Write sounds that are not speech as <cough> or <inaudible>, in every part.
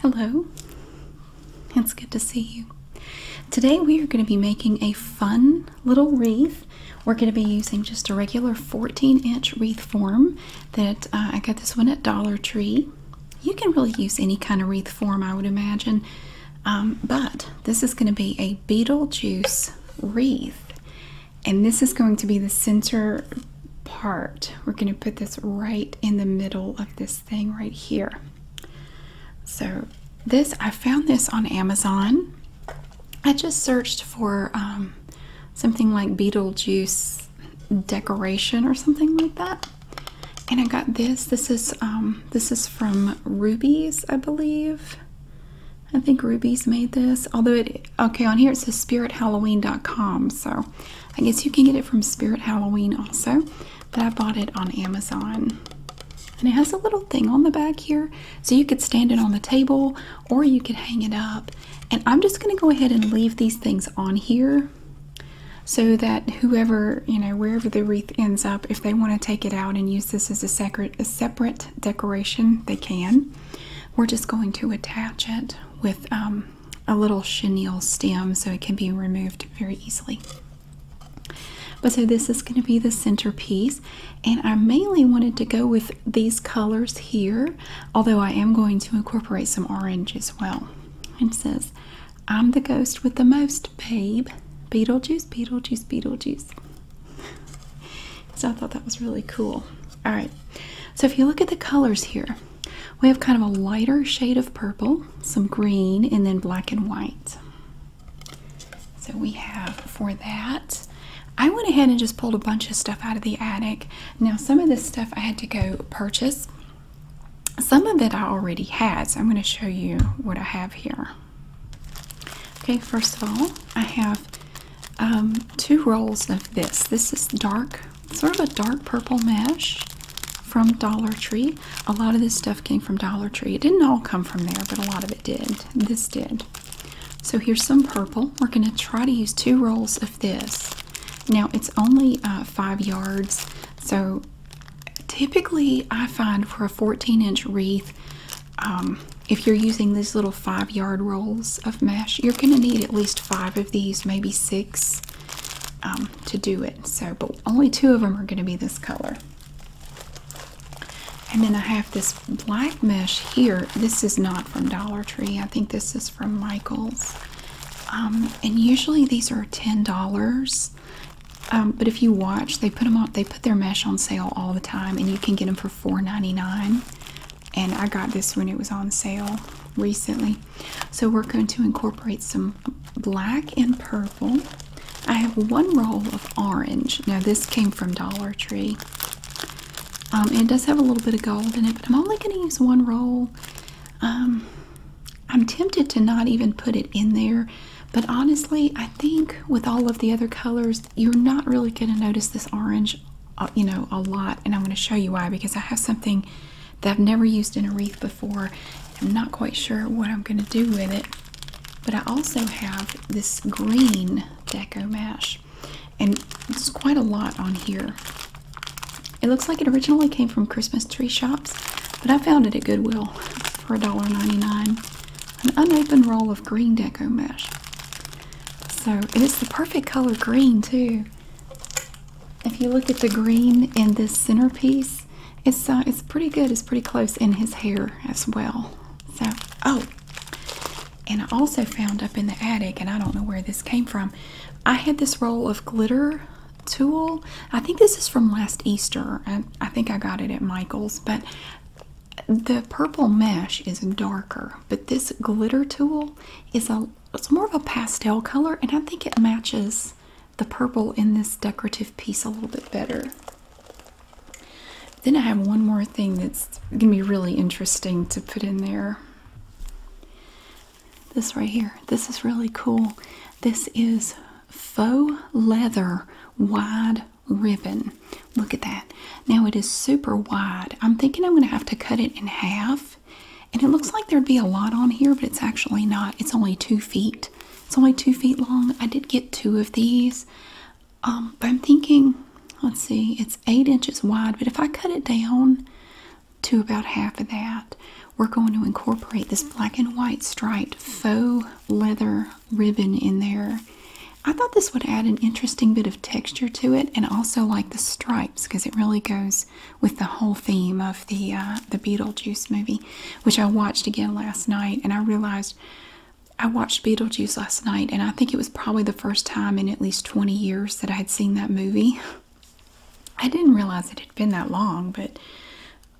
Hello, it's good to see you. Today we are going to be making a fun little wreath. We're going to be using just a regular 14 inch wreath form that uh, I got this one at Dollar Tree. You can really use any kind of wreath form, I would imagine, um, but this is going to be a Beetlejuice wreath. And this is going to be the center part. We're going to put this right in the middle of this thing right here. So this, I found this on Amazon. I just searched for um, something like Beetlejuice decoration or something like that. And I got this. This is um, this is from Ruby's, I believe. I think Ruby's made this. Although it okay on here it says spirithalloween.com. So I guess you can get it from Spirit Halloween also, but I bought it on Amazon. And it has a little thing on the back here, so you could stand it on the table or you could hang it up. And I'm just going to go ahead and leave these things on here so that whoever, you know, wherever the wreath ends up, if they want to take it out and use this as a separate, decoration, they can. We're just going to attach it with um, a little chenille stem so it can be removed very easily. But so this is going to be the centerpiece and I mainly wanted to go with these colors here although I am going to incorporate some orange as well. It says, I'm the ghost with the most babe. Beetlejuice, Beetlejuice, Beetlejuice. <laughs> so I thought that was really cool. Alright, so if you look at the colors here, we have kind of a lighter shade of purple, some green, and then black and white. So we have for that. I went ahead and just pulled a bunch of stuff out of the attic. Now, some of this stuff I had to go purchase. Some of it I already had, so I'm going to show you what I have here. Okay, first of all, I have um, two rolls of this. This is dark sort of a dark purple mesh from Dollar Tree. A lot of this stuff came from Dollar Tree. It didn't all come from there, but a lot of it did. This did. So here's some purple. We're going to try to use two rolls of this. Now it's only uh, five yards, so typically I find for a 14 inch wreath, um, if you're using these little five yard rolls of mesh, you're going to need at least five of these, maybe six. Um, to do it. So, but only two of them are going to be this color. And then I have this black mesh here. This is not from Dollar Tree. I think this is from Michaels. Um, and usually these are ten dollars. Um, but if you watch, they put them on. They put their mesh on sale all the time, and you can get them for $4.99 and I got this when it was on sale recently. So we're going to incorporate some black and purple. I have one roll of orange. Now this came from Dollar Tree. Um, it does have a little bit of gold in it, but I'm only going to use one roll. Um, I'm tempted to not even put it in there, but honestly, I think with all of the other colors, you're not really going to notice this orange you know, a lot, and I'm going to show you why because I have something that I've never used in a wreath before. I'm not quite sure what I'm going to do with it, but I also have this green deco mesh, and it's quite a lot on here. It looks like it originally came from Christmas tree shops, but I found it at Goodwill for $1.99. An unopened roll of green deco mesh. So, it's the perfect color green, too. If you look at the green in this centerpiece, it's uh, it's pretty good. It's pretty close in his hair as well. So oh, and I also found up in the attic, and I don't know where this came from. I had this roll of glitter tool. I think this is from last Easter. I, I think I got it at Michael's, but the purple mesh is darker, but this glitter tool is a it's more of a pastel color and I think it matches the purple in this decorative piece a little bit better. Then I have one more thing that's gonna be really interesting to put in there. This right here, this is really cool. This is faux leather wide ribbon. Look at that. Now it is super wide. I'm thinking I'm gonna have to cut it in half and it looks like there'd be a lot on here, but it's actually not. It's only two feet. It's only two feet long. I did get two of these. Um, but I'm thinking, let's see, it's eight inches wide, but if I cut it down to about half of that, we're going to incorporate this black and white striped faux leather ribbon in there. I thought this would add an interesting bit of texture to it, and also like the stripes because it really goes with the whole theme of the uh, the Beetlejuice movie, which I watched again last night, and I realized I watched Beetlejuice last night, and I think it was probably the first time in at least 20 years that I had seen that movie. <laughs> I didn't realize it had been that long, but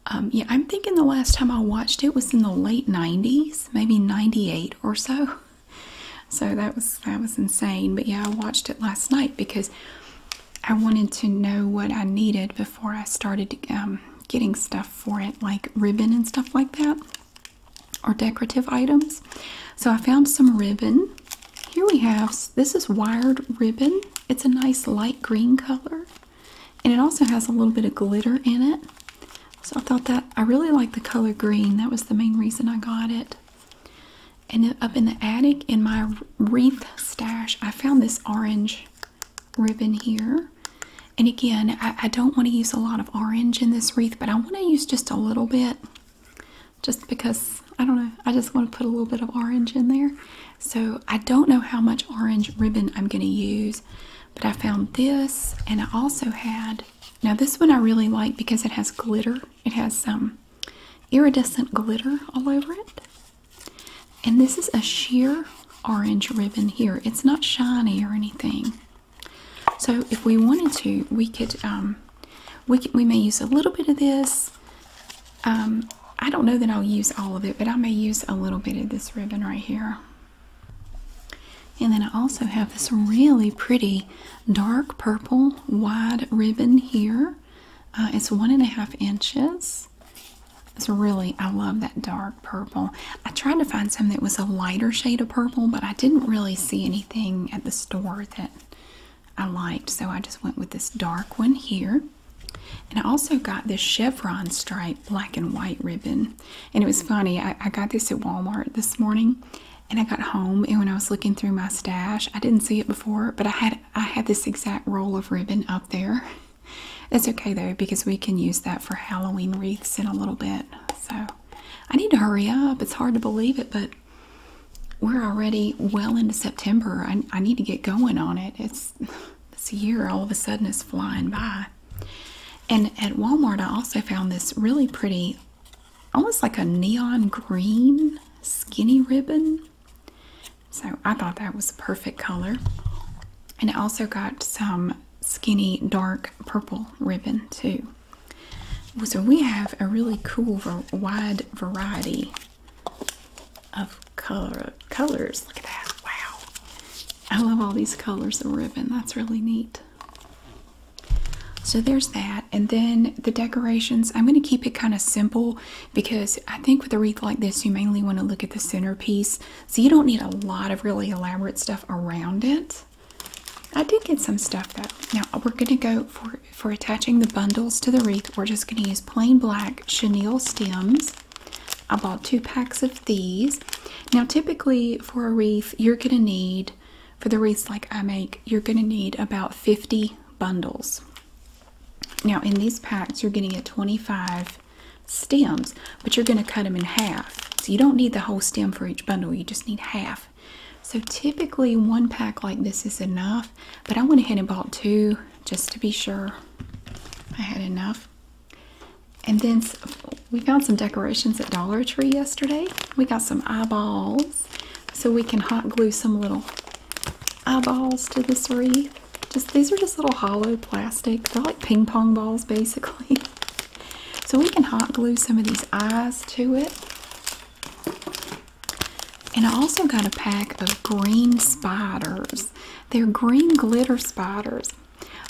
um, yeah, I'm thinking the last time I watched it was in the late 90s, maybe 98 or so. <laughs> so that was that was insane but yeah i watched it last night because i wanted to know what i needed before i started um, getting stuff for it like ribbon and stuff like that or decorative items so i found some ribbon here we have this is wired ribbon it's a nice light green color and it also has a little bit of glitter in it so i thought that i really like the color green that was the main reason i got it and up in the attic in my wreath stash, I found this orange ribbon here. And again, I, don't want to use a lot of orange in this wreath, but I want to use just a little bit just because I don't know, I just want to put a little bit of orange in there. So I don't know how much orange ribbon I'm going to use, but I found this and I also had, now this one I really like because it has glitter it has some um, iridescent glitter all over it. And this is a sheer orange ribbon here. It's not shiny or anything. So if we wanted to, we could, um, we, could, we may use a little bit of this. Um, I don't know that I'll use all of it, but I may use a little bit of this ribbon right here. And then I also have this really pretty dark purple wide ribbon here. Uh, it's one and a half inches. It's really, I love that dark purple. I tried to find some that was a lighter shade of purple, but I didn't really see anything at the store that I liked, so I just went with this dark one here. And I also got this chevron stripe black and white ribbon. And it was funny, I got this at Walmart this morning and I got home and when I was looking through my stash, I didn't see it before, but I had I had this exact roll of ribbon up there. <laughs> It's okay though because we can use that for Halloween wreaths in a little bit. So I need to hurry up. It's hard to believe it, but we're already well into September. I, I need to get going on it. It's <laughs> this year all of a sudden it's flying by. And at Walmart, I also found this really pretty almost like a neon green skinny ribbon. So I thought that was a perfect color. And I also got some skinny dark purple ribbon too. So we have a really cool wide variety of color colors. Look at that. Wow. I love all these colors of ribbon. That's really neat. So there's that. And then the decorations, I'm going to keep it kind of simple because I think with a wreath like this, you mainly want to look at the centerpiece. So you don't need a lot of really elaborate stuff around it. I did get some stuff though. Now we're going to go for, for attaching the bundles to the wreath. We're just going to use plain black chenille stems. I bought two packs of these. Now typically for a wreath, you're going to need for the wreaths like I make, you're going to need about 50 bundles. Now, in these packs, you're getting a 25 stems, but you're going to cut them in half. So you don't need the whole stem for each bundle, you just need half. So typically one pack like this is enough, but I went ahead and bought two just to be sure I had enough. And then we found some decorations at Dollar Tree yesterday. We got some eyeballs so we can hot glue some little eyeballs to this wreath. Just these are just little hollow plastic. They're like ping pong balls basically. <laughs> So we can hot glue some of these eyes to it. And I also got a pack of green spiders. They're green glitter spiders.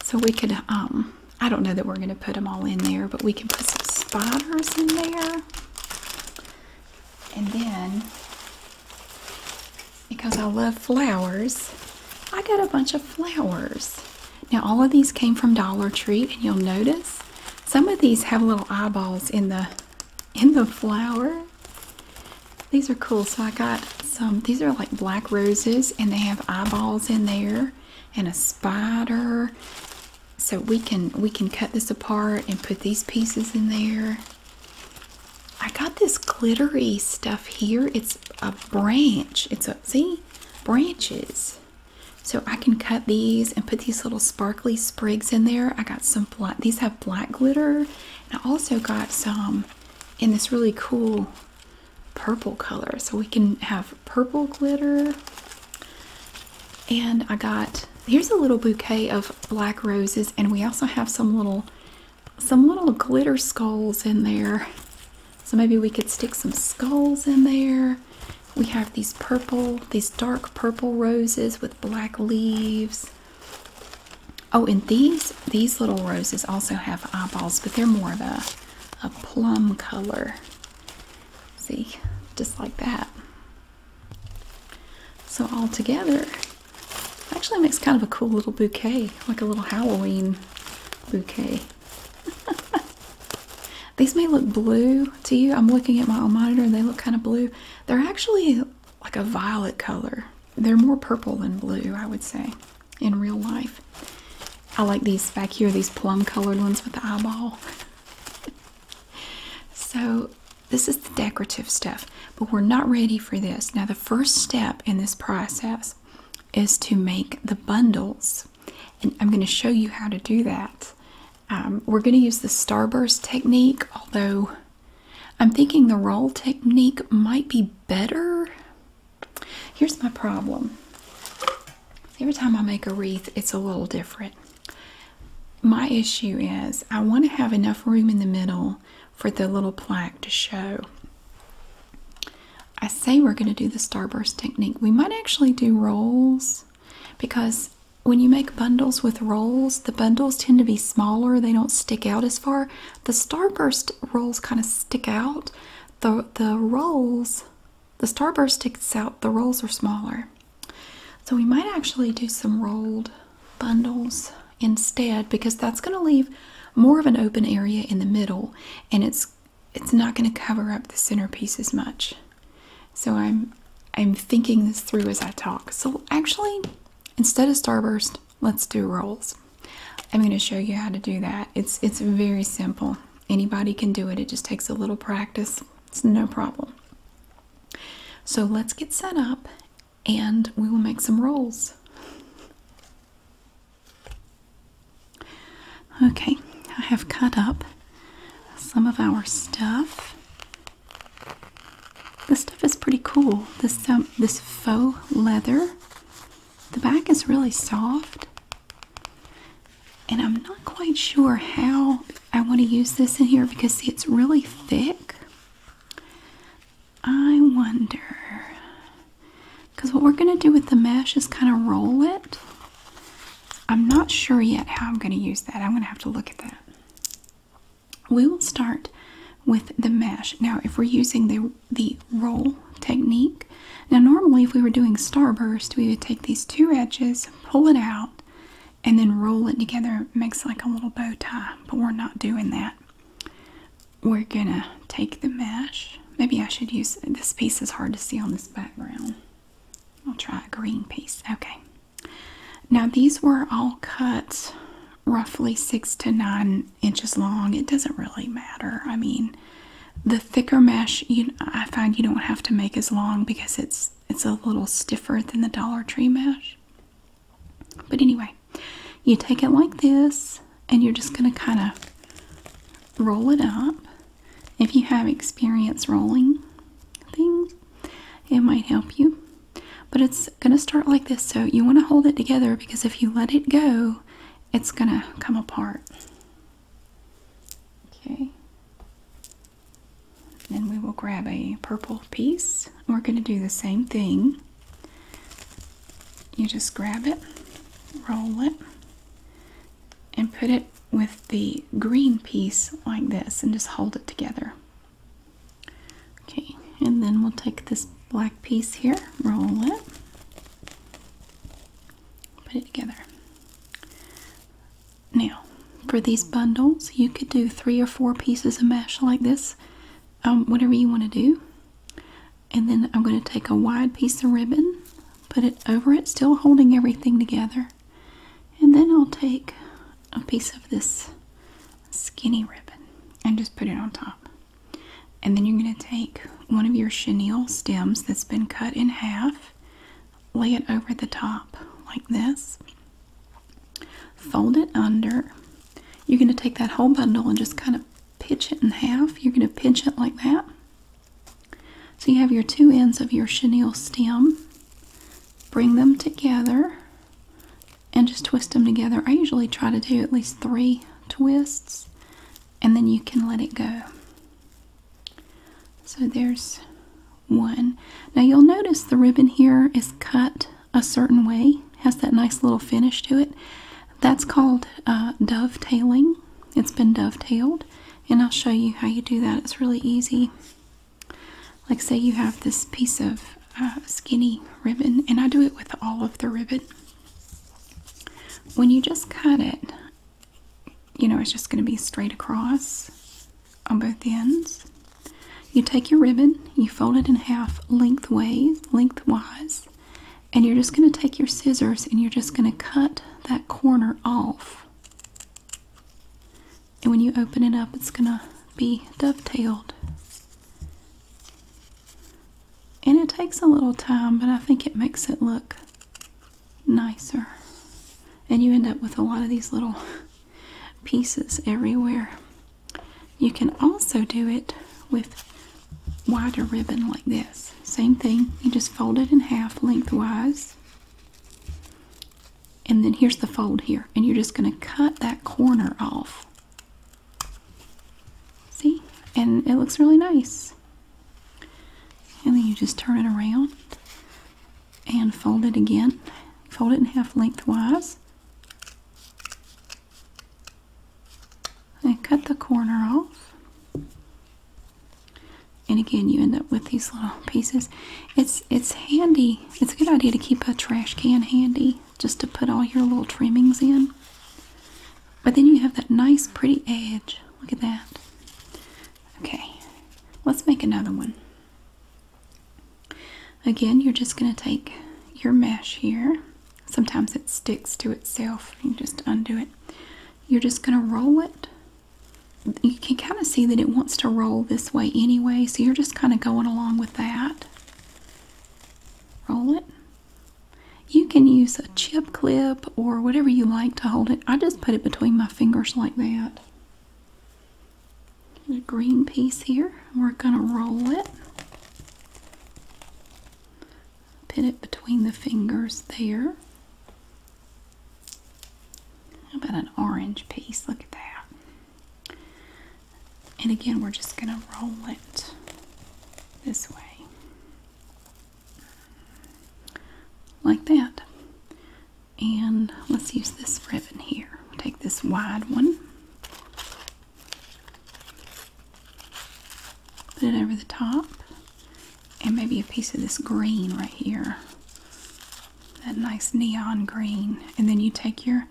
So we could um I don't know that we're going to put them all in there, but we can put some spiders in there. And then, because I love flowers, I got a bunch of flowers. Now, all of these came from Dollar Tree, and you'll notice some of these have little eyeballs in the in the flower. These are cool. So I got some. These are like black roses, and they have eyeballs in there and a spider. So we can we can cut this apart and put these pieces in there. I got this glittery stuff here. It's a branch. It's a see branches. So I can cut these and put these little sparkly sprigs in there. I got some black. These have black glitter. And I also got some in this really cool purple color. So we can have purple glitter. And I got here's a little bouquet of black roses and we also have some little some little glitter skulls in there. So maybe we could stick some skulls in there. We have these purple, these dark purple roses with black leaves. Oh, and these these little roses also have eyeballs, but they're more of a, a plum color. See, just like that. So all together, actually makes kind of a cool little bouquet, like a little Halloween bouquet. <laughs> These may look blue to you. I'm looking at my monitor and they look kind of blue. They're actually like a violet color. They're more purple than blue, I would say, in real life. I like these back here, these plum colored ones with the eyeball. so, this is the decorative stuff, but we're not ready for this. Now, the first step in this process is to make the bundles, and I'm going to show you how to do that. Um, we're going to use the starburst technique, although I'm thinking the roll technique might be better. Here's my problem. Every time I make a wreath, it's a little different. My issue is I want to have enough room in the middle for the little plaque to show. I say we're going to do the starburst technique. We might actually do rolls because when you make bundles with rolls, the bundles tend to be smaller. They don't stick out as far. The starburst rolls kind of stick out. The, the rolls the starburst sticks out, the rolls are smaller. So we might actually do some rolled bundles instead because that's going to leave more of an open area in the middle and it's it's not going to cover up the centerpiece as much. So I'm I'm thinking this through as I talk. So actually instead of starburst, let's do rolls. I'm going to show you how to do that. It's it's very simple. Anybody can do it, it just takes a little practice. It's no problem. So let's get set up and we will make some rolls. Okay, I have cut up some of our stuff. This stuff is pretty cool. This um, this faux leather. The back is really soft. And I'm not quite sure how I want to use this in here because see, it's really thick. I wonder. Because what we're going to do with the mesh is kind of roll it. I'm not sure yet how I'm going to use that. I'm going to have to look at that. We will start with the mesh. Now, if we're using the the roll technique. Now normally if we were doing starburst, we would take these two edges, pull it out, and then roll it together. It makes like a little bow tie, but we're not doing that. We're gonna take the mesh. Maybe I should use, this piece is hard to see on this background. I'll try a green piece, okay. Now these were all cut roughly six to nine inches long. It doesn't really matter. I mean, the thicker mesh, you I find you don't have to make as long because it's it's a little stiffer than the Dollar Tree mesh. But anyway, you take it like this, and you're just gonna kind of roll it up. If you have experience rolling things, it might help you. But it's gonna start like this, so you want to hold it together because if you let it go, it's gonna come apart. Okay. Then we will grab a purple piece. We're going to do the same thing. You just grab it, roll it, and put it with the green piece like this and just hold it together. Okay, and then we'll take this black piece here, roll it, put it together. Now, for these bundles, you could do three or four pieces of mesh like this, um, whatever you want to do. And then I'm going to take a wide piece of ribbon, put it over it, still holding everything together. And then I'll take a piece of this skinny ribbon and just put it on top. And then you're going to take one of your chenille stems that's been cut in half, lay it over the top like this, fold it under. You're going to take that whole bundle and just kind of pitch it in half. You're going to pinch it like that. So you have your two ends of your chenille stem. Bring them together and just twist them together. I usually try to do at least three twists and then you can let it go. So there's one. Now you'll notice the ribbon here is cut a certain way, has that nice little finish to it. That's called uh, dovetailing. It's been dovetailed and I'll show you how you do that. It's really easy. Like say you have this piece of uh, skinny ribbon and I do it with all of the ribbon. When you just cut it, you know, it's just going to be straight across on both ends. You take your ribbon, you fold it in half lengthways, lengthwise, and you're just going to take your scissors and you're just going to cut that corner off. And when you open it up, it's going to be dovetailed. And it takes a little time, but I think it makes it look nicer. And you end up with a lot of these little pieces everywhere. You can also do it with wider ribbon like this. Same thing, you just fold it in half lengthwise. And then here's the fold here. And you're just going to cut that corner off. See? And it looks really nice. And then you just turn it around and fold it again. Fold it in half lengthwise. And cut the corner off. And again, you end up with these little pieces. It's it's handy. It's a good idea to keep a trash can handy just to put all your little trimmings in. But then you have that nice pretty edge. Look at that. Okay, let's make another one. Again, you're just going to take your mesh here. Sometimes it sticks to itself. You just undo it. You're just going to roll it. You can kind of see that it wants to roll this way anyway, so you're just kind of going along with that. Roll it. You can use a chip clip or whatever you like to hold it. I just put it between my fingers like that. There's a green piece here. We're going to roll it. Pin it between the fingers there. about an orange piece? Look at that. And again, we're just going to roll it this way. Like that. And let's use this ribbon here. take this wide one. Put it over the top. And maybe a piece of this green right here. That nice neon green. And then you take your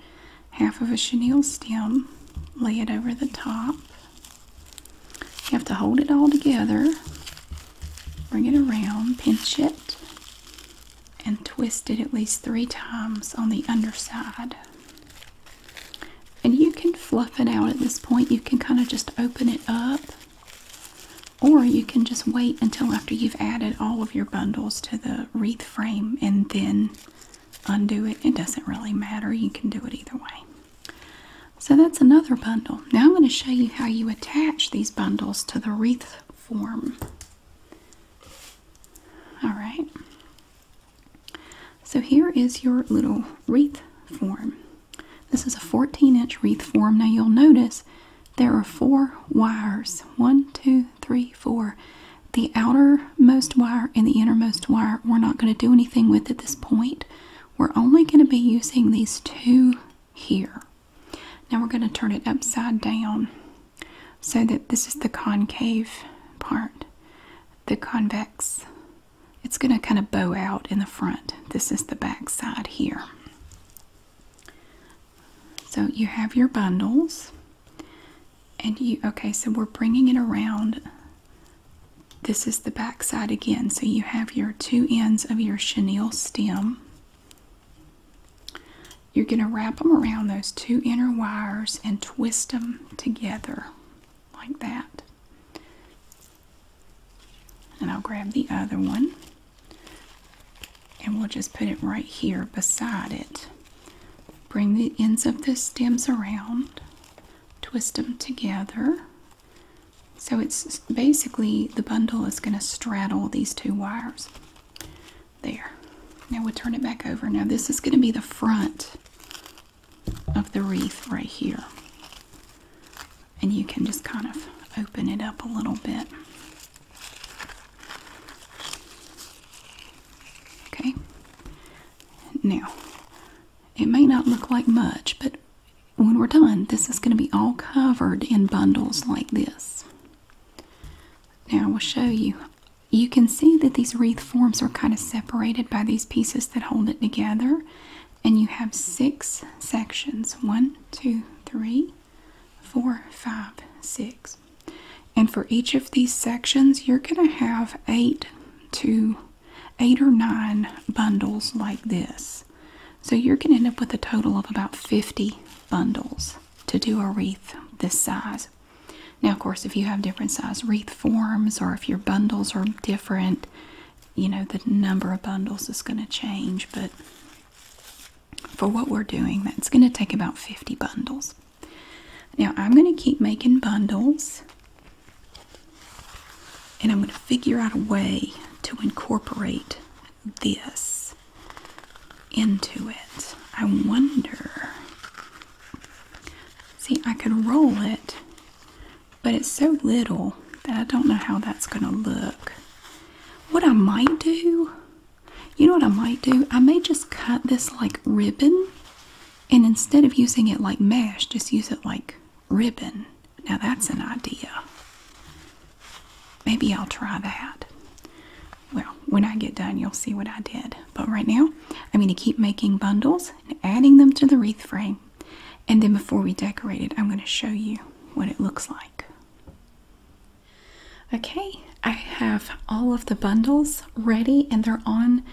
half of a chenille stem, lay it over the top. You have to hold it all together, bring it around, pinch it, and twist it at least three times on the underside. And you can fluff it out at this point. You can kind of just open it up, or you can just wait until after you've added all of your bundles to the wreath frame and then undo it. It doesn't really matter. You can do it either way. So that's another bundle. Now I'm going to show you how you attach these bundles to the wreath form. Alright. So here is your little wreath form. This is a 14 inch wreath form. Now you'll notice there are four wires. One, two, three, four. The outermost wire and the innermost wire, we're not going to do anything with at this point. We're only going to be using these two here. Now we're going to turn it upside down so that this is the concave part, the convex. It's going to kind of bow out in the front. This is the back side here. So you have your bundles and you okay so we're bringing it around this is the back side again so you have your two ends of your chenille stem you're going to wrap them around those two inner wires and twist them together like that and I'll grab the other one and we'll just put it right here beside it Bring the ends of the stems around, twist them together. So it's basically the bundle is going to straddle these two wires. There. Now we'll turn it back over. Now this is going to be the front of the wreath right here. And you can just kind of open it up a little bit. Okay? Now, it may not look like much, but when we're done, this is going to be all covered in bundles like this. Now, I will show you. You can see that these wreath forms are kind of separated by these pieces that hold it together. And you have six sections. One, two, three, four, five, six. And for each of these sections, you're going to have eight to eight or nine bundles like this. So you're going to end up with a total of about 50 bundles to do a wreath this size. Now, of course, if you have different size wreath forms or if your bundles are different, you know, the number of bundles is going to change, but for what we're doing, that's going to take about 50 bundles. Now I'm going to keep making bundles and I'm going to figure out a way to incorporate this into it. I wonder. See, I could roll it, but it's so little that I don't know how that's going to look. What I might do, you know what I might do? I may just cut this like ribbon and instead of using it like mesh, just use it like ribbon. Now that's an idea. Maybe I'll try that. Well, when I get done, you'll see what I did. But right now, I'm going to keep making bundles and adding them to the wreath frame. And then before we decorate it, I'm going to show you what it looks like. Okay, I have all of the bundles ready and they're on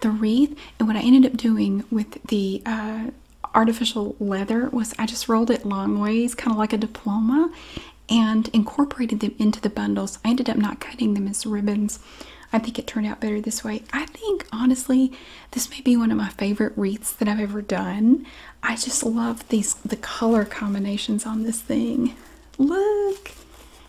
the wreath. And what I ended up doing with the uh, artificial leather was I just rolled it long ways, kind of like a diploma, and incorporated them into the bundles. I ended up not cutting them as ribbons. I think it turned out better this way. I think honestly, this may be one of my favorite wreaths that I've ever done. I just love these the color combinations on this thing. Look,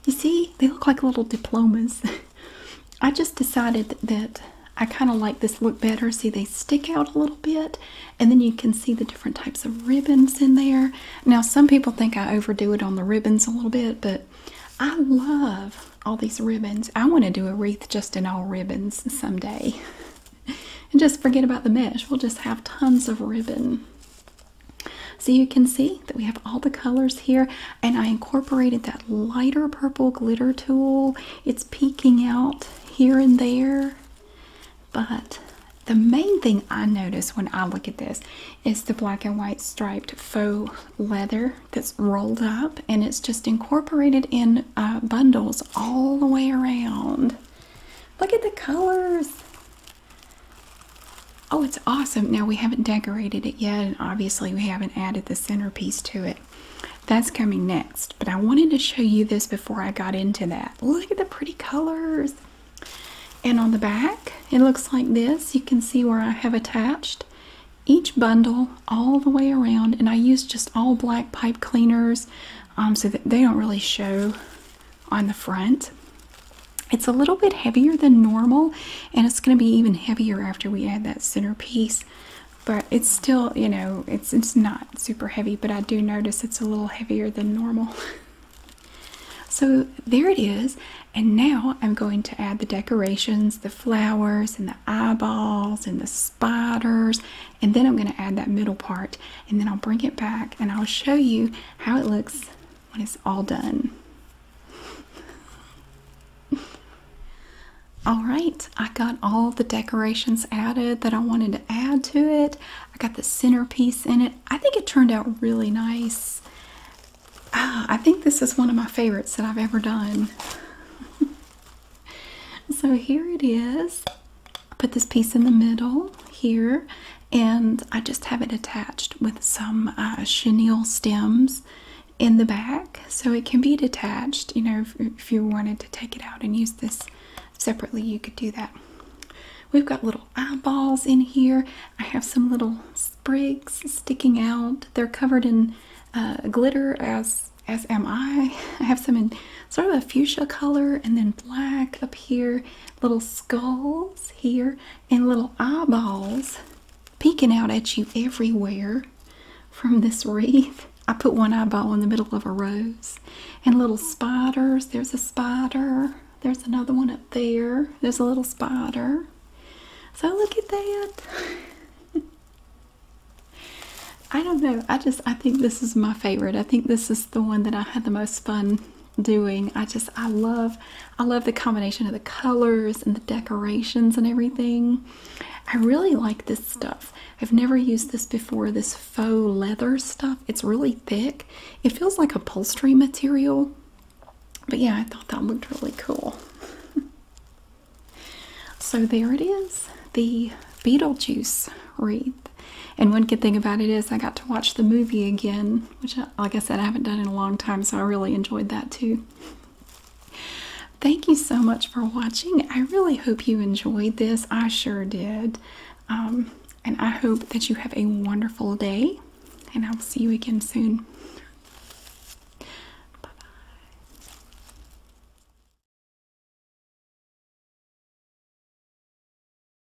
you see, they look like little diplomas. <laughs> I just decided that I kind of like this look better. See, they stick out a little bit, and then you can see the different types of ribbons in there. Now, some people think I overdo it on the ribbons a little bit, but I love all these ribbons. I want to do a wreath just in all ribbons someday. <laughs> and just forget about the mesh. We'll just have tons of ribbon. So you can see that we have all the colors here and I incorporated that lighter purple glitter tool. It's peeking out here and there. But the main thing I notice when I look at this is the black and white striped faux leather that's rolled up and it's just incorporated in uh, bundles all the way around. Look at the colors. Oh, it's awesome. Now, we haven't decorated it yet, and obviously, we haven't added the centerpiece to it. That's coming next, but I wanted to show you this before I got into that. Look at the pretty colors. And on the back, it looks like this. You can see where I have attached each bundle all the way around, and I used just all black pipe cleaners um, so that they don't really show on the front. It's a little bit heavier than normal, and it's going to be even heavier after we add that centerpiece. But it's still, you know, it's it's not super heavy, but I do notice it's a little heavier than normal. <laughs> so there it is, and now I'm going to add the decorations, the flowers, and the eyeballs, and the spiders, and then I'm going to add that middle part, and then I'll bring it back and I'll show you how it looks when it's all done. <laughs> all right, I got all the decorations added that I wanted to add to it. I got the centerpiece in it. I think it turned out really nice. Ah, I think this is one of my favorites that I've ever done. <laughs> so here it is. put this piece in the middle here and I just have it attached with some uh, chenille stems in the back so it can be detached. You know, if, you wanted to take it out and use this separately, you could do that. We've got little eyeballs in here. I have some little sprigs sticking out. They're covered in uh, glitter, as as am I. <laughs> I have some in sort of a fuchsia color, and then black up here. Little skulls here and little eyeballs peeking out at you everywhere from this wreath. I put one eyeball in the middle of a rose and little spiders. There's a spider. There's another one up there. There's a little spider. So look at that. <laughs> I don't know. I just I think this is my favorite. I think this is the one that I had the most fun doing. I just I love I love the combination of the colors and the decorations and everything. I really like this stuff. I've never used this before, this faux leather stuff. It's really thick. It feels like upholstery material. But yeah, I thought that looked really cool. <laughs> so there it is, the Beetlejuice wreath. And one good thing about it is I got to watch the movie again which, I, like I said, I haven't done in a long time, so I really enjoyed that too. Thank you so much for watching. I really hope you enjoyed this. I sure did. Um, and I hope that you have a wonderful day, and I'll see you again soon. Bye bye.